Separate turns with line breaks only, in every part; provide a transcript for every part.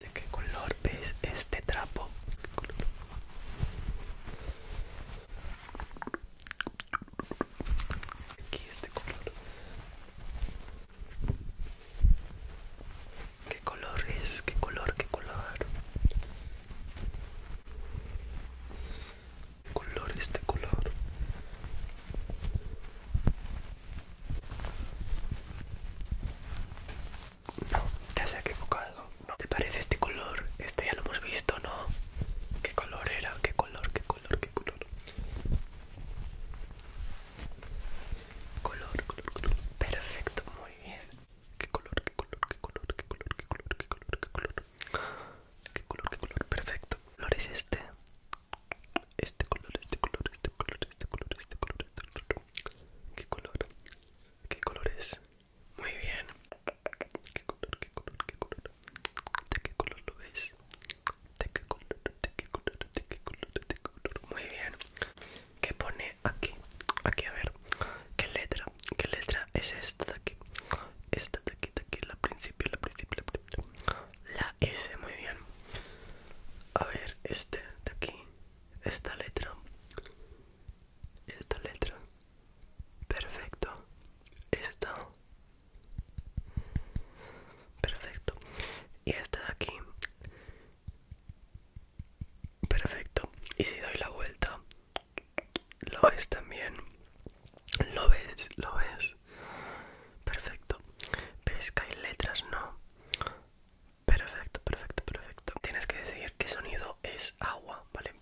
¿De qué color es este trapo? Aquí este color. ¿Qué color es? ¿Qué color? ¿Qué color? ¿Qué color este color? No, ya se ha equivocado. ¿Te parece este color? Este ya lo hemos visto, ¿no? ¿Qué color era? ¿Qué color? ¿Qué color? ¿Qué color? Color, color, Perfecto, muy bien. ¿Qué color? ¿Qué color? ¿Qué color? ¿Qué color? ¿Qué color? ¿Qué color? ¿Qué color? ¿Qué color? ¿Qué color? Perfecto. ¿Qué color es este? este color, este color, este color, este color, este color. ¿Qué color? ¿Qué color es? Muy bien. ¿Qué color? ¿Qué color? ¿Qué color? ¿De qué color lo ves? ¿De qué color? ¿De qué color? ¿De qué color? Muy bien. ¿Qué pone aquí? Aquí, a ver. ¿Qué letra? ¿Qué letra es esta de aquí? Esta de aquí, de aquí, la principio, la principio, la principio. La S, muy bien. A ver, este de aquí esta letra, esta letra, perfecto, esta, perfecto, y esta de aquí, perfecto, y si doy la vuelta, lo ves también, lo ves, lo ves, perfecto, ves que hay letras, no. Perfecto, perfecto, perfecto. Tienes que decir qué sonido es agua, ¿vale?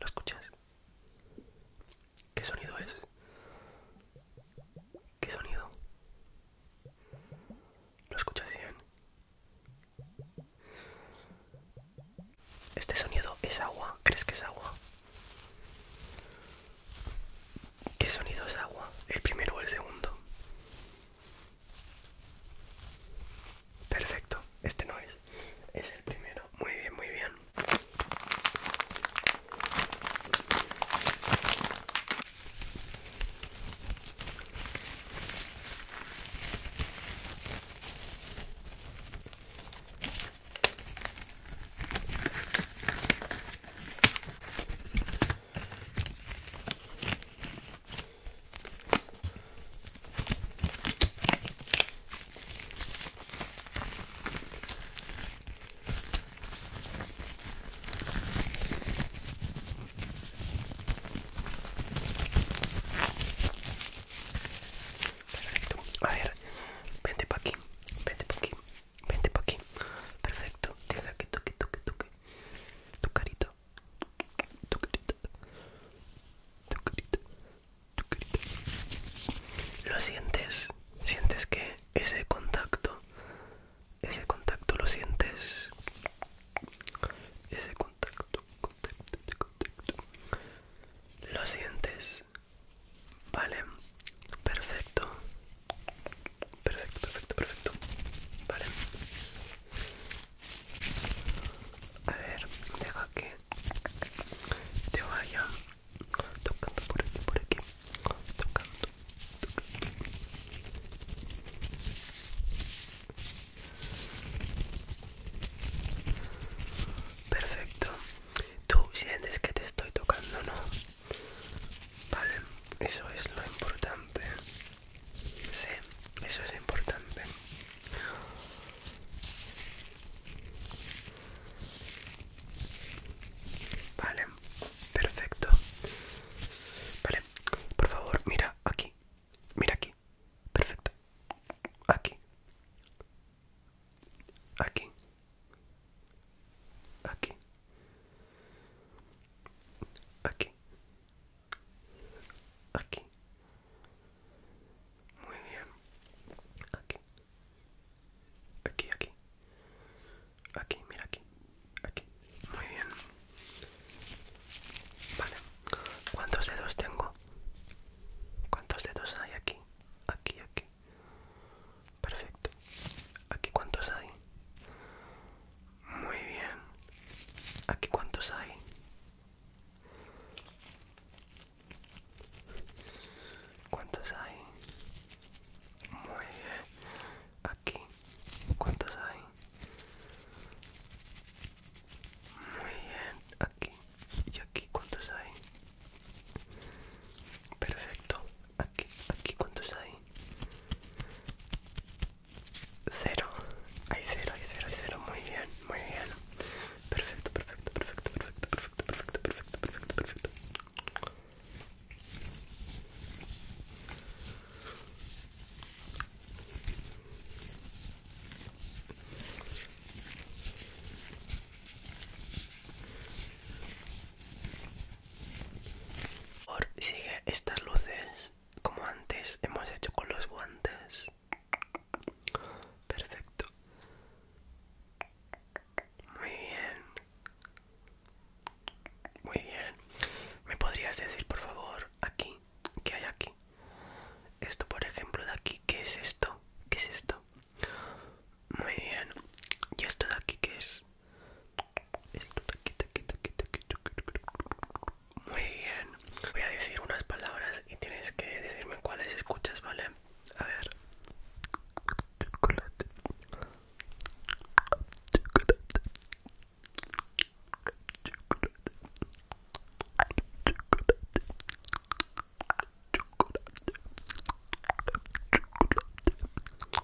¿Lo escuchas? ¿Qué sonido es? ¿Qué sonido? ¿Lo escuchas bien? Este sonido es agua. ¿Crees que es agua? ¿Qué sonido es agua? ¿El primero o el segundo? Perfecto, este no es. Es el primero. Muy bien, muy bien. A ver, vente pa' aquí, vente por aquí, Vente por aquí. Perfecto. Deja que toque, toque, toque. Tu carita. Tu carita. Tu carita. Tu carita. Lo sientes. Sientes que ese contacto. Ese contacto lo sientes. Ese contacto, contacto, contacto. Lo sientes. Vale. Perfecto. Perfecto, perfecto, perfecto. Vale. A ver, deja que te vaya tocando por aquí, por aquí. Tocando, tocando. Perfecto. Tú sientes que te estoy tocando, ¿no? Vale, eso es lo importante. Sí, eso es importante. Vale, perfecto. Vale, por favor, mira aquí. Mira aquí. Perfecto. Aquí. Aquí. Aquí. Aquí. Aquí. Muy bien. Aquí. Aquí, aquí. Aquí, mira aquí. Aquí. Muy bien. Vale. ¿Cuántos dedos tengo? ¿Cuántos dedos hay aquí? Aquí, aquí. Perfecto. ¿Aquí cuántos hay? Muy bien. ¿Aquí cuántos hay? ¿Cuántos hay? Muy bien. Aquí. ¿Cuántos hay? Muy bien. Aquí. ¿Y aquí cuántos hay? Perfecto. Aquí, aquí, ¿cuántos hay? Cero. Hay cero, hay cero, hay cero. Muy bien, muy bien. Perfecto, perfecto, perfecto, perfecto, perfecto, perfecto, perfecto, perfecto, perfecto sigue estas luces como antes hemos hecho con los guantes. Perfecto. Muy bien. Muy bien. ¿Me podrías decir, por favor, aquí? ¿Qué hay aquí? Esto, por ejemplo, de aquí. ¿Qué es esto? ¿Qué es esto? Muy bien. ¿Y esto de aquí qué es? Muy bien. Voy a decir unas palabras y tienes que decirme cuáles escuchas, ¿vale? A ver. Chocolate. Chocolate. Chocolate. Chocolate. Chocolate.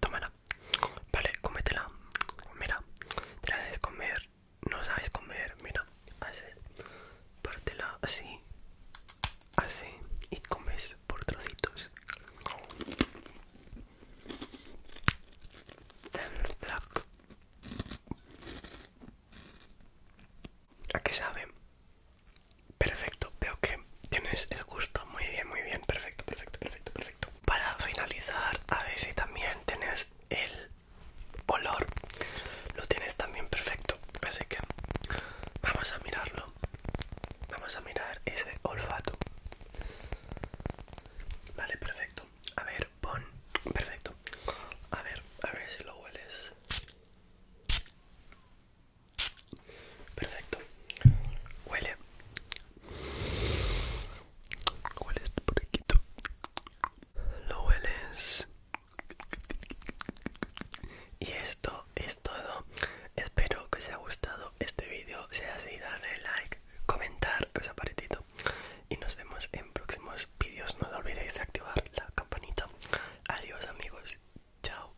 Tómala. Vale, cómetela. Mira, te la sabes comer. No sabes comer. Mira, así. Pártela así. Así. Y comes por trocitos. ¿A qué sabe? Perfecto, veo que tienes el gusto. Muy bien, muy bien. Perfecto, perfecto, perfecto, perfecto. Para finalizar, a ver si también tienes el olor. Lo tienes también perfecto. Así que vamos a mirarlo. Vamos a mirar ese olfato. Vale, perfecto. A ver, pon. Perfecto. A ver, a ver si lo hueles. Perfecto. Huele. Huele este por aquí. Lo hueles. Y esto es todo. Espero que os haya gustado este vídeo. Si es así, darle like, comentar, que os aparetito. Y nos vemos en próximos vídeos. No olvidéis de activar la campanita. Adiós amigos. Chao.